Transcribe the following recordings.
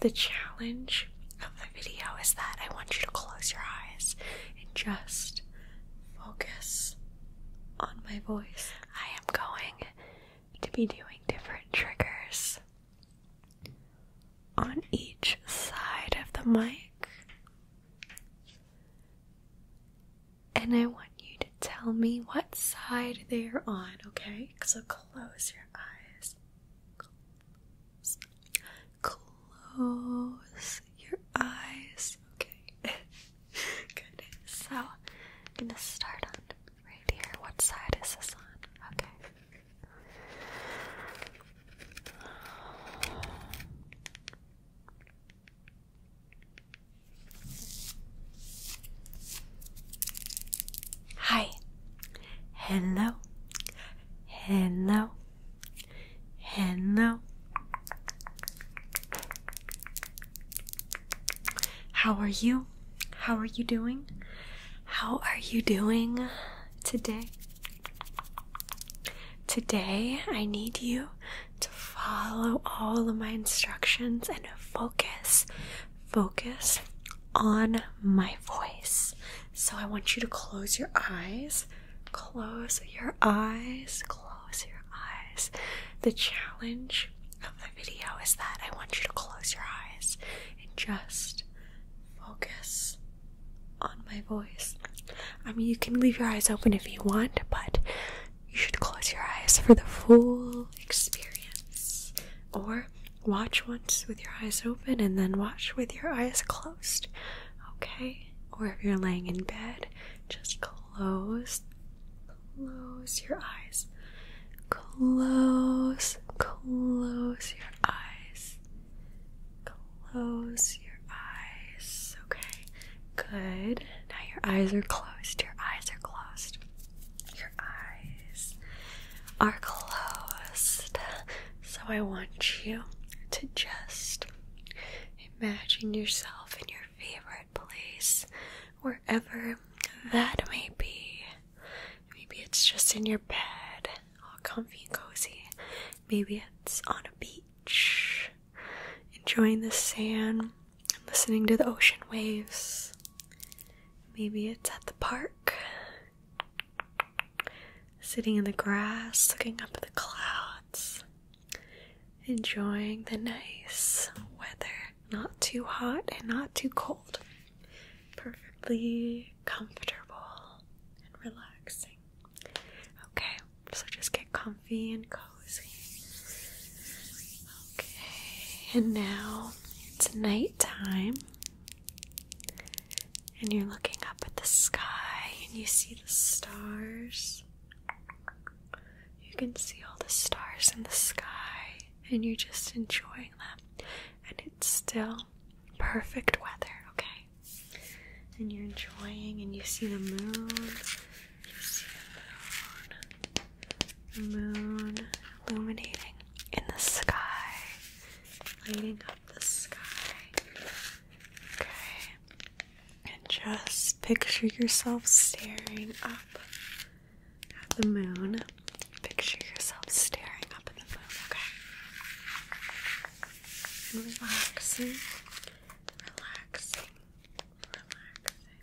The challenge of the video is that I want you to close your eyes and just focus on my voice. I am going to be doing different triggers on each side of the mic, and I want you to tell me what side they're on, okay? So close your eyes. Close your eyes. Okay. Good. So I'm gonna start on right here. What side is this on? Okay. Hi. Hello, hello, hello. How are you? How are you doing? How are you doing today? Today, I need you to follow all of my instructions and focus focus on my voice. So I want you to close your eyes, close your eyes, close your eyes. The challenge of the video is that I want you to close your eyes and just focus on my voice. I mean, you can leave your eyes open if you want, but you should close your eyes for the full experience. Or watch once with your eyes open and then watch with your eyes closed, okay? Or if you're laying in bed, just close, close your eyes. Close, close your eyes. Close your eyes. Okay, good. Now your eyes are closed. Your eyes are closed. Your eyes are closed. So I want you to just imagine yourself in your favorite place, wherever that may be. Maybe it's just in your bed, all comfy and cozy. Maybe it's on a beach, enjoying the sand and listening to the ocean waves. Maybe it's at the park, sitting in the grass, looking up at the clouds, enjoying the nice weather. Not too hot and not too cold. Perfectly comfortable and relaxing. Okay, so just get comfy and cozy. Okay, and now it's nighttime, and you're looking up at the sky and you see the stars. You can see all the stars in the sky, and you're just enjoying them. And it's still perfect weather, okay? And you're enjoying, and you see the moon. You see the moon moon illuminating in the sky, lighting up the sky. Okay, and just picture yourself staring up at the moon. Picture yourself staring up at the moon, okay? And relaxing, relaxing, relaxing.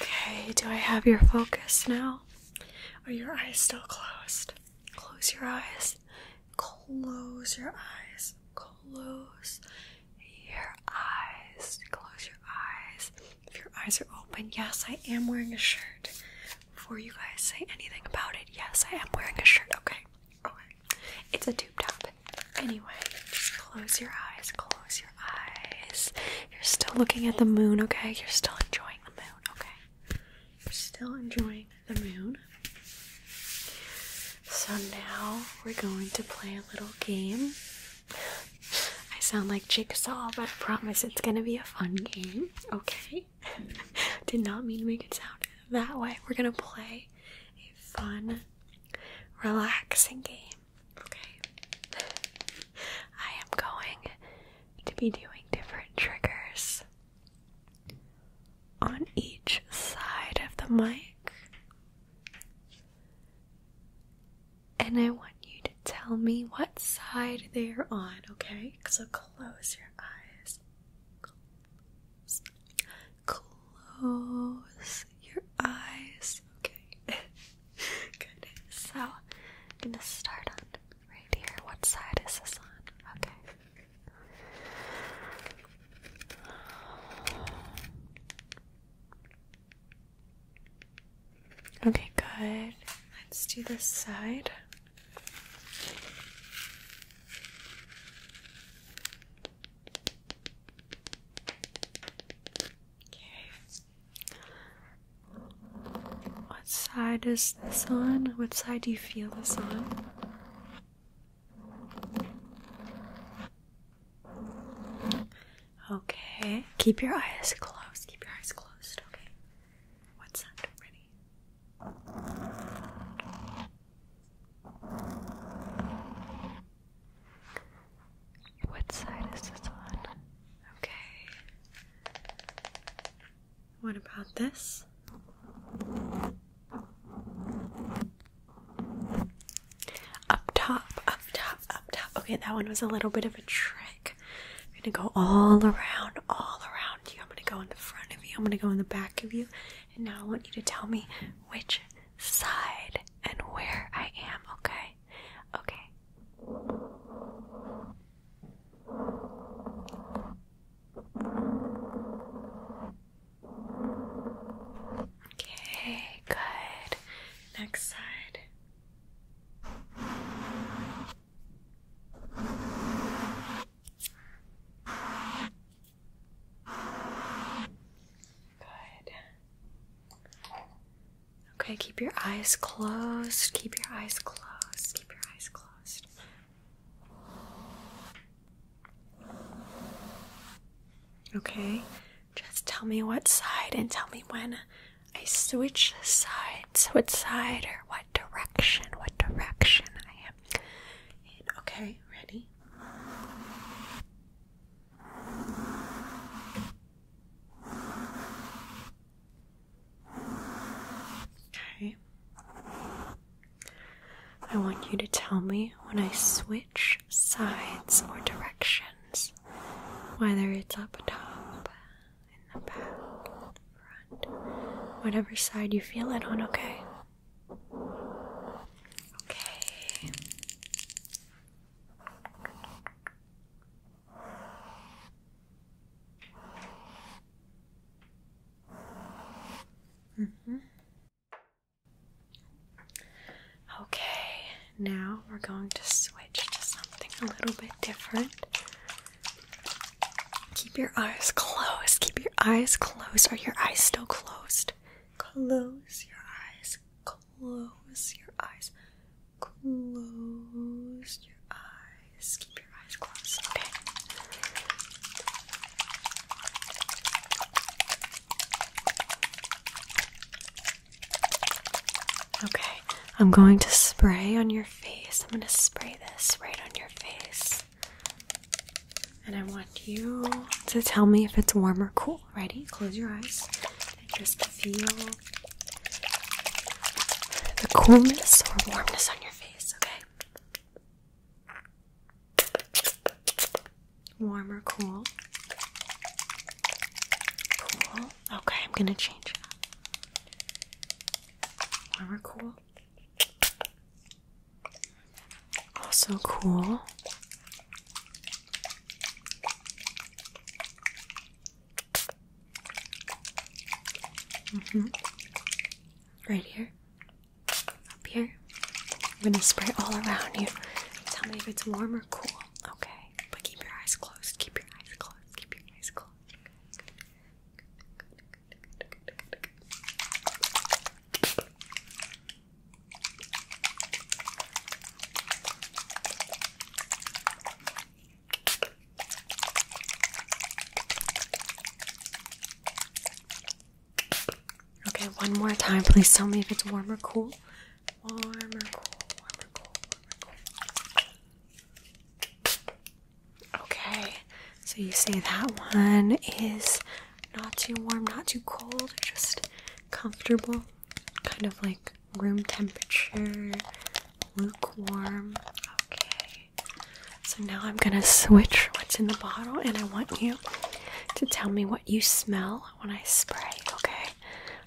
Okay, do I have your focus now? Are your eyes still closed? Close your eyes. Close your eyes. Close your eyes. Close your eyes. If your eyes are open, yes, I am wearing a shirt. Before you guys say anything about it, yes, I am wearing a shirt, okay? It's a tube top. Anyway, just close your eyes. Close your eyes. You're still looking at the moon, okay? You're still enjoying the moon, okay? You're still enjoying the moon. So now we're going to play a little game. I sound like Jigsaw, but I promise it's gonna be a fun game, okay? Did not mean to make it sound that way. We're gonna play a fun relaxing game, okay? I am going to be doing different triggers on each side of the mic, and I want you to tell me what side they're on, okay? So close your eyes close your eyes. Okay. Good. So I'm gonna start on right here. What side is this on? Okay. Okay, good. Let's do this side. Okay. What side is this on? What side do you feel this on? Okay. Keep your eyes closed. Keep your eyes closed. Okay. What's that? Ready? What side is this on? Okay. What about this? Up top, up top, up top. Okay, that one was a little bit of a trick. I'm gonna go all around, all around you. I'm gonna go in the front of you. I'm gonna go in the back of you. And now I want you to tell me which side and where I am, okay? Okay. Okay, good. Next side. Good. Okay, keep your eyes closed. Keep your eyes closed. Keep your eyes closed. Okay, just tell me what side and tell me when I switch sides. What side or what direction? What direction I am in. Okay, ready? Okay. I want you to tell me when I switch sides or directions, whether it's up top, in the back, front, whatever side you feel it on, okay? Okay. Mm -hmm. Okay, now we're going to switch to something a little bit different. Keep your eyes closed, keep eyes closed? Are your eyes still closed? Close your eyes. Close your eyes. Close your eyes. Keep your eyes closed. Okay. Okay, I'm going to spray on your face. I'm going to spray this right on your face. And I want you to tell me if it's warm or cool. Ready? Close your eyes and just feel the coolness or warmness on your face, okay? Warm or cool? Cool. Okay, I'm gonna change it. Warm or cool? So cool. Mm-hmm. Right here. Up here. I'm gonna spray all around you. Tell me if it's warm or cool. Okay. But keep your eyes closed. Keep your eyes closed. Keep your eyes closed. Okay, one more time. Please tell me if it's warm or cool. Warm or cool, Okay, so you say that one is not too warm, not too cold, just comfortable, kind of like room temperature, lukewarm. Okay, so now I'm gonna switch what's in the bottle, and I want you to tell me what you smell when I spray. Okay,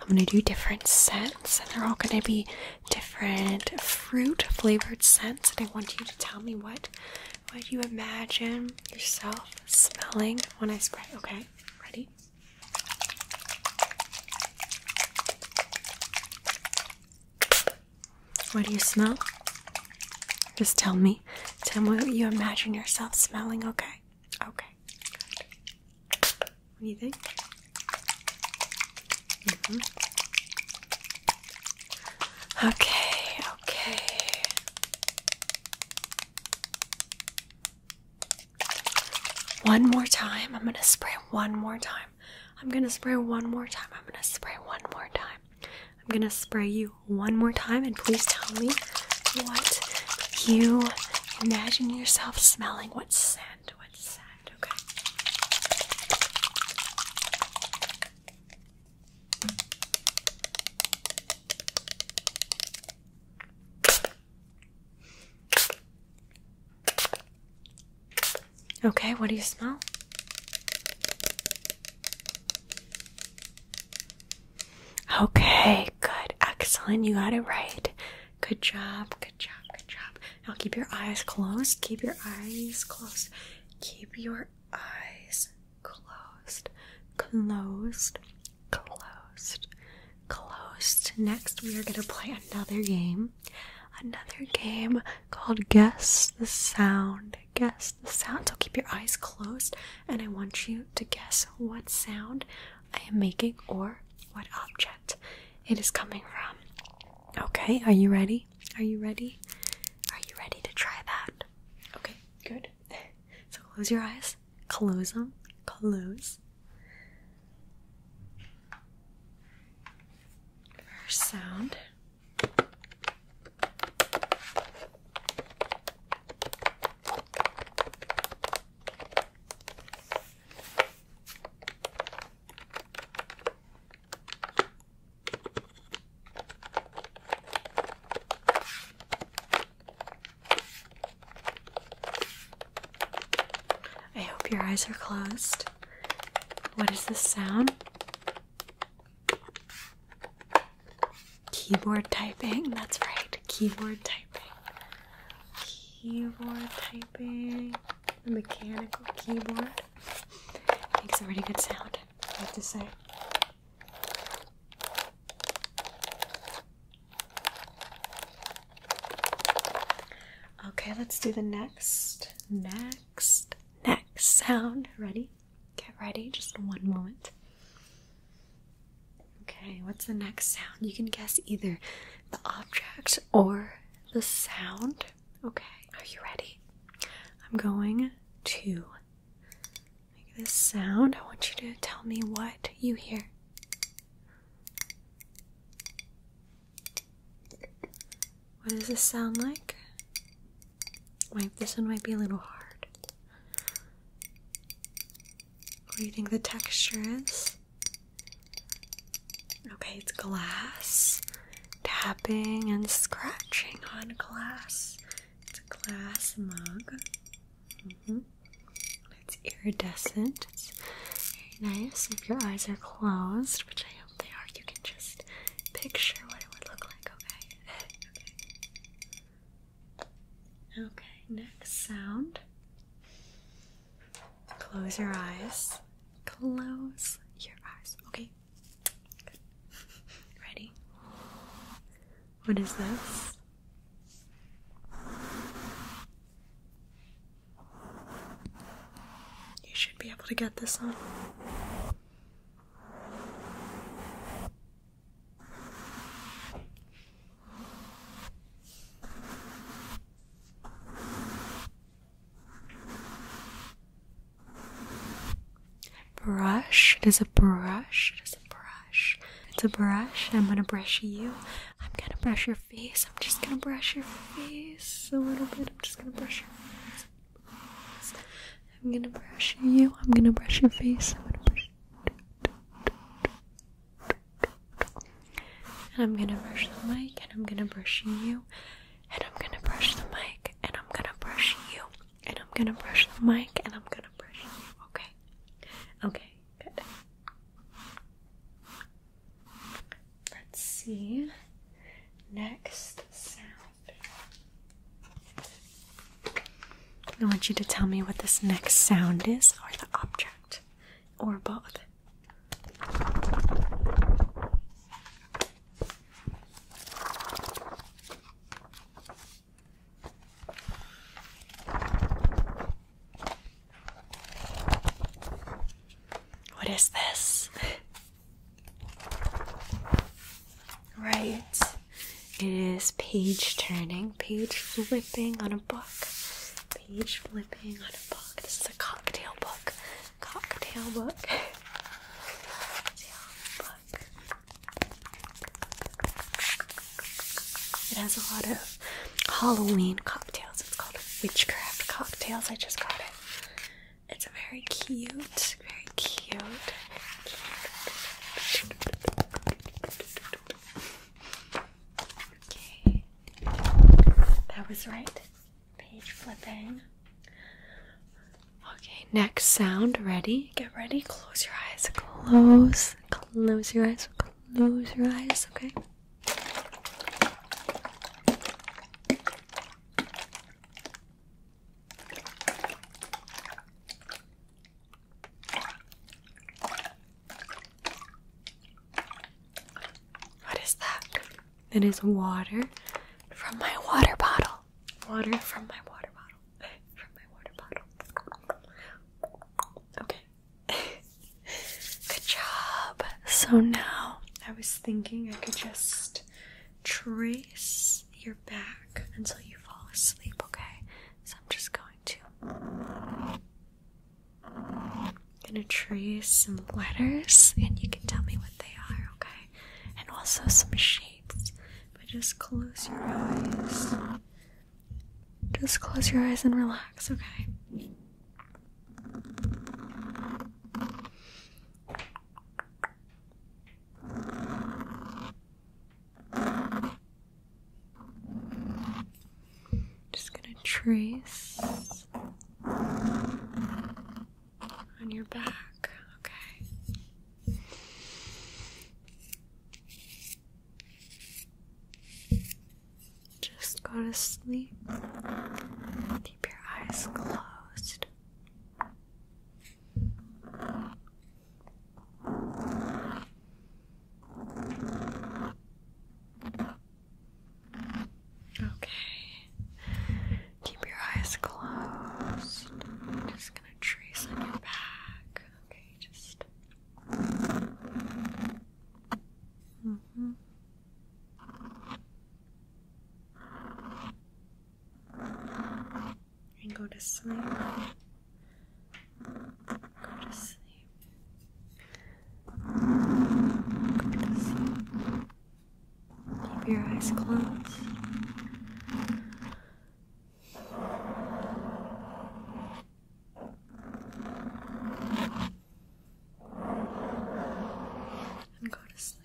I'm gonna do different scents, and they're all gonna be different fruit flavored scents, and I want you to tell me what what do you imagine yourself smelling when I spray. Okay, ready? What do you smell? Just tell me. Tell me what you imagine yourself smelling, okay? Okay. What do you think? Mm-hmm. Okay, okay. One more time. I'm going to spray one more time. I'm going to spray one more time. I'm going to spray one more time. I'm going to spray you one more time and please tell me what you imagine yourself smelling. What scent? What scent? okay? Okay, what do you smell? Okay, good, excellent. You got it right. Good job, good job, good job. Now keep your eyes closed. Keep your eyes closed. Keep your eyes closed. Closed. Closed. Closed. Next, we are going to play another game. Another game called Guess the Sound. Guess the sound. So keep your eyes closed, and I want you to guess what sound I am making or what object it is coming from. Okay, are you ready? Are you ready? Are you ready to try that? Okay, good. So close your eyes. Close them. Close. First sound. I hope your eyes are closed. What is this sound? Keyboard typing, that's right, keyboard typing. Keyboard typing, the mechanical keyboard that. Makes a really good sound, I have to say. Okay, let's do the next, next, next sound. Ready? Get ready, just one moment. Okay, what's the next sound? You can guess either the object or the sound. Okay, are you ready? I'm going to make this sound. I want you to tell me what you hear. What does this sound like? this one might be a little hard. What do you think the texture is? Okay, it's glass. Tapping and scratching on glass. It's a glass mug. -hmm. It's iridescent. It's very nice. If your eyes are closed, which I hope they are, you can just picture what it would look like, okay? okay. Okay, next sound. Close your eyes. Close your eyes. Okay. Ready? What is this? You should be able to get this on. Brush. It is a brush. It is a brush. It's a brush. I'm gonna brush you. I'm gonna brush your face. I'm just gonna brush your face a little bit. I'm just gonna brush your face. I'm gonna brush you. I'm gonna brush your face. I'm gonna brush. And I'm gonna brush the mic, and I'm gonna brush you, and I'm gonna brush the mic, and I'm gonna brush you, and I'm gonna brush the mic, and I'm gonna brush you, okay? Okay, good. Let's see. Next sound. I want you to tell me what this next sound is, or the object, or both. What is this? Right. It is page turning, page flipping on a book page flipping on a book. This is a cocktail book. Cocktail book. It has a lot of Halloween cocktails. It's called Witchcraft Cocktails. I just got it. It's very cute, very cute. Okay. That was right. Page flipping. Okay, next sound. Ready? Get ready. Close your eyes. Close. Close your eyes. Close your eyes. Okay. What is that? It is water from my water bottle. Water from my water bottle. From my water bottle. Okay. Good job. So now I was thinking I could just trace your back until you fall asleep, okay? So I'm just going to I'm gonna trace some letters and you can tell me what they are, okay? And also some shapes. But just close your eyes. Just close your eyes and relax, okay? Just gonna trace on your back, okay. Just go to sleep. Keep your eyes closed. Okay. Keep your eyes closed. I'm just gonna trace on your back. Okay, just. Mm-hmm. And go to sleep. Go to sleep. Go to sleep. Keep your eyes closed. And go to sleep.